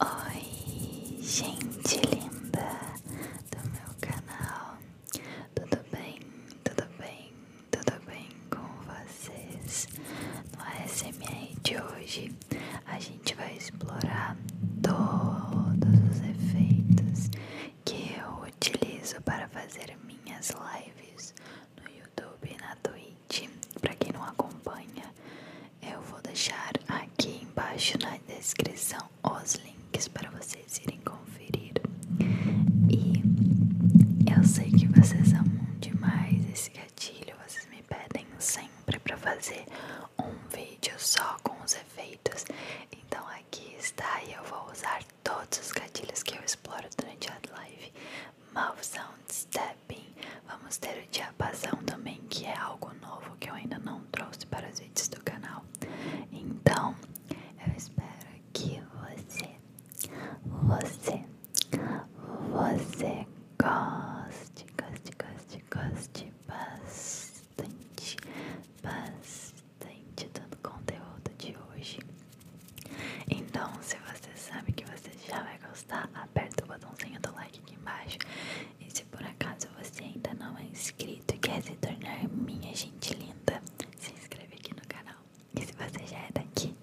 Oi, gente linda do meu canal, tudo bem? Tudo bem? Tudo bem com vocês? No ASMR de hoje a gente vai explorar todos os efeitos que eu utilizo para fazer minhas lives no YouTube e na Twitch. Para quem não acompanha, eu vou deixar aqui embaixo na descrição os links para vocês irem conferir. E eu sei que vocês amam demais esse gatilho, vocês me pedem sempre para fazer um vídeo só com os efeitos. Então aqui está e eu vou usar todos os gatilhos que eu exploro durante a live mouth sound stepping. Vamos ter o diapasão também, que é algo novo que eu ainda não trouxe para os vídeos do canal. Então, eu espero que você, você, você goste, goste, goste, goste bastante, bastante do conteúdo de hoje. Então, se você sabe que você já vai gostar, aperta o botãozinho do like aqui embaixo. E se por acaso você ainda não é inscrito e quer se tornar minha gente linda, se inscreve aqui no canal. E se você já é daqui,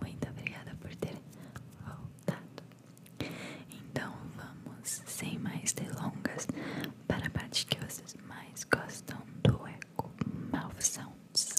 muito obrigada por ter voltado. Então vamos, sem mais delongas, para a parte que vocês mais gostam do eco mal Sounds.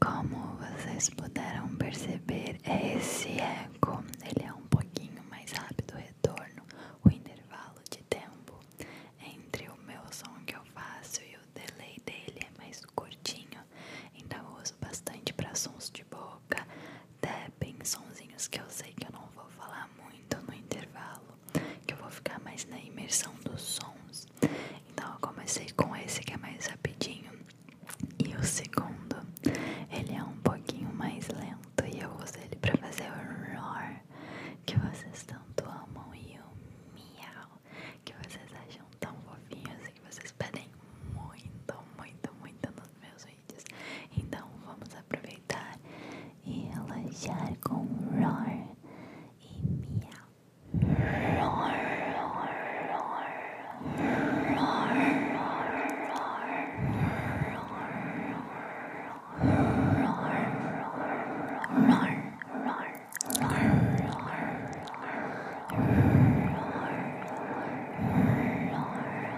Como vocês puderam perceber, é esse eco ele é um pouquinho mais rápido o retorno, o intervalo de tempo entre o meu som que eu faço e o delay dele é mais curtinho, então eu uso bastante para sons de boca, tapping, sonzinhos que eu sei que eu não vou falar muito no intervalo, que eu vou ficar mais na imersão dos sons. Então eu comecei com esse que é mais rapidinho. E o segundo, ele é um pouquinho mais lento e eu uso ele para fazer o roar que vocês tanto amam e o miau que vocês acham tão fofinho assim que vocês pedem muito, muito, muito nos meus vídeos. Então vamos aproveitar e relaxar com roar e miau. Roar, roar, roar, roar, roar, roar, roar, roar, roar.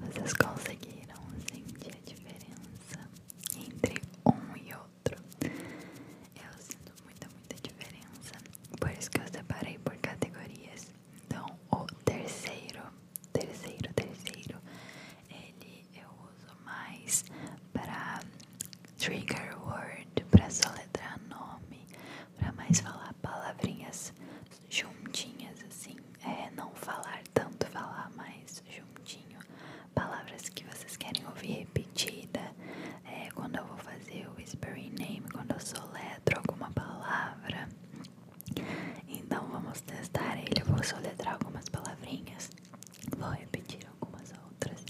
Vocês conseguiram sentir a diferença entre um e outro? Eu sinto muita, muita diferença. Por isso que eu separei por categorias. Então, o terceiro terceiro, terceiro, ele eu uso mais para trigger word, para soletrar nome, para mais falar palavrinhas juntinhas assim, é não falar tanto, falar mais juntinho, palavras que vocês querem ouvir repetida, é, quando eu vou fazer o whispering name, quando eu soletro alguma palavra. Então vamos testar ele. vou soletrar algumas palavrinhas, vou repetir algumas outras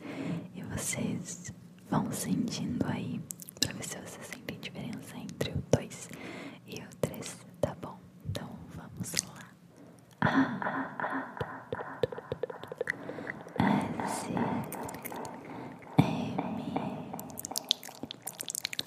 e vocês vão sentindo aí pra ver se vocês sentem diferença entre o 2 e o 3, tá bom? Então vamos lá. A S M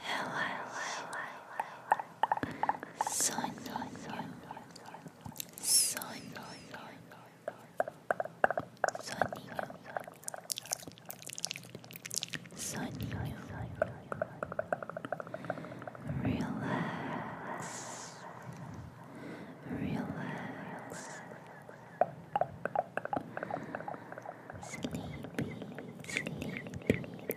Hello, hello, sun, sun, sunny, sunny, relax, relax, sleepy, sleepy.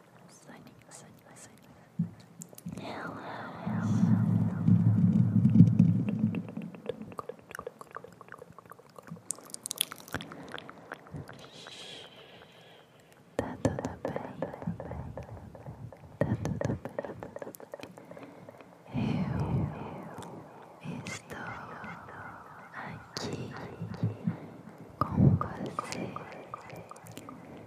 Sonic, Sonic, Sonic. Hello, hello. Tá tudo bem. Tá tudo bem. Eu estou aqui com você.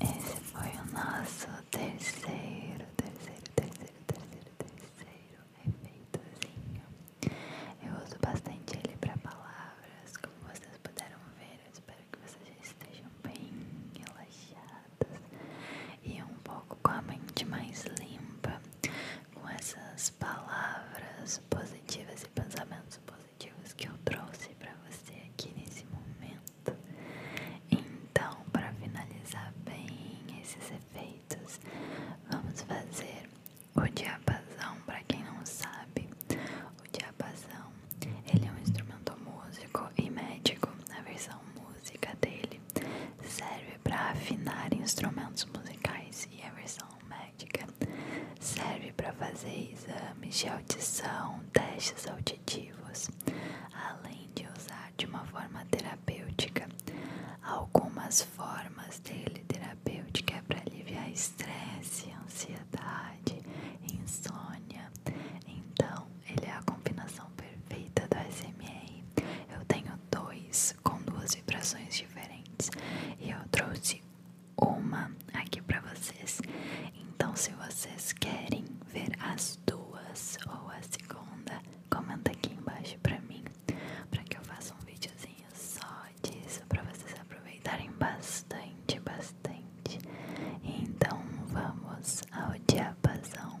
Esse foi o nosso terceiro, terceiro, terceiro, terceiro, terceiro efeitozinho. Eu uso bastante ele para palavras, como vocês puderam ver. Eu espero que vocês estejam bem relaxados e um pouco com a mente mais limpa com essas palavras positivas e pensamentos positivos que eu trouxe para você aqui nesse momento. Então, para finalizar bem esses efeitos, vamos fazer o diapasão. Para quem não sabe, o diapasão ele é um instrumento músico e médico. A versão música dele serve para afinar instrumentos musicais e a versão médica serve para fazer exames de audição, testes auditivos, além de usar de uma forma terapêutica. Algumas formas dele terapêutica é para aliviar estresse, ansiedade, insônia. Então, ele é a combinação perfeita do SMR. Eu tenho dois com duas vibrações diferentes e eu trouxe uma aqui para vocês. Então, se vocês querem ver as duas ou a segunda, comenta aqui embaixo para mim, para que eu faça um videozinho só disso para vocês aproveitarem bastante, bastante. Então, vamos ao diapasão.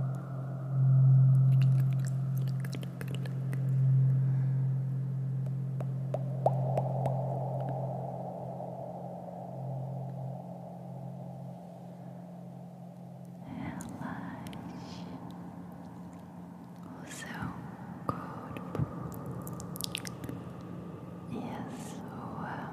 Relaxe o seu corpo e a sua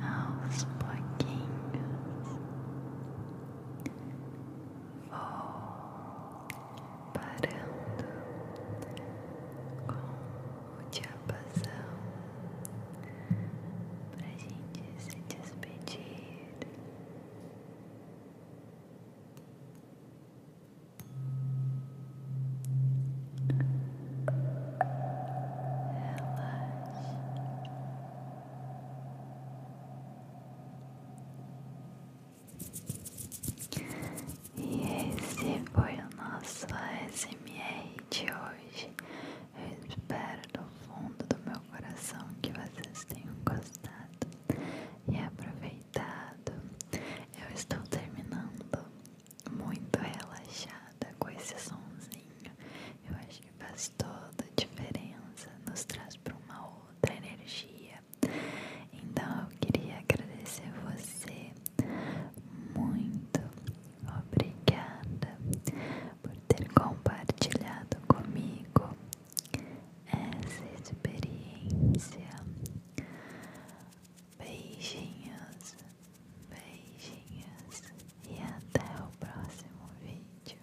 aos pouquinhos vou parando com o diapasão para gente se despedir. E esse foi o nosso ASMR de hoje. Eu espero do fundo do meu coração que vocês tenham gostado e aproveitado. Eu estou terminando muito relaxada com esse sonzinho. Eu acho que faz toda a diferença, nos traz para uma outra energia. Então eu queria agradecer você muito obrigada por ter compartilhado comigo essa experiência. Beijinhos, beijinhos e até o próximo vídeo.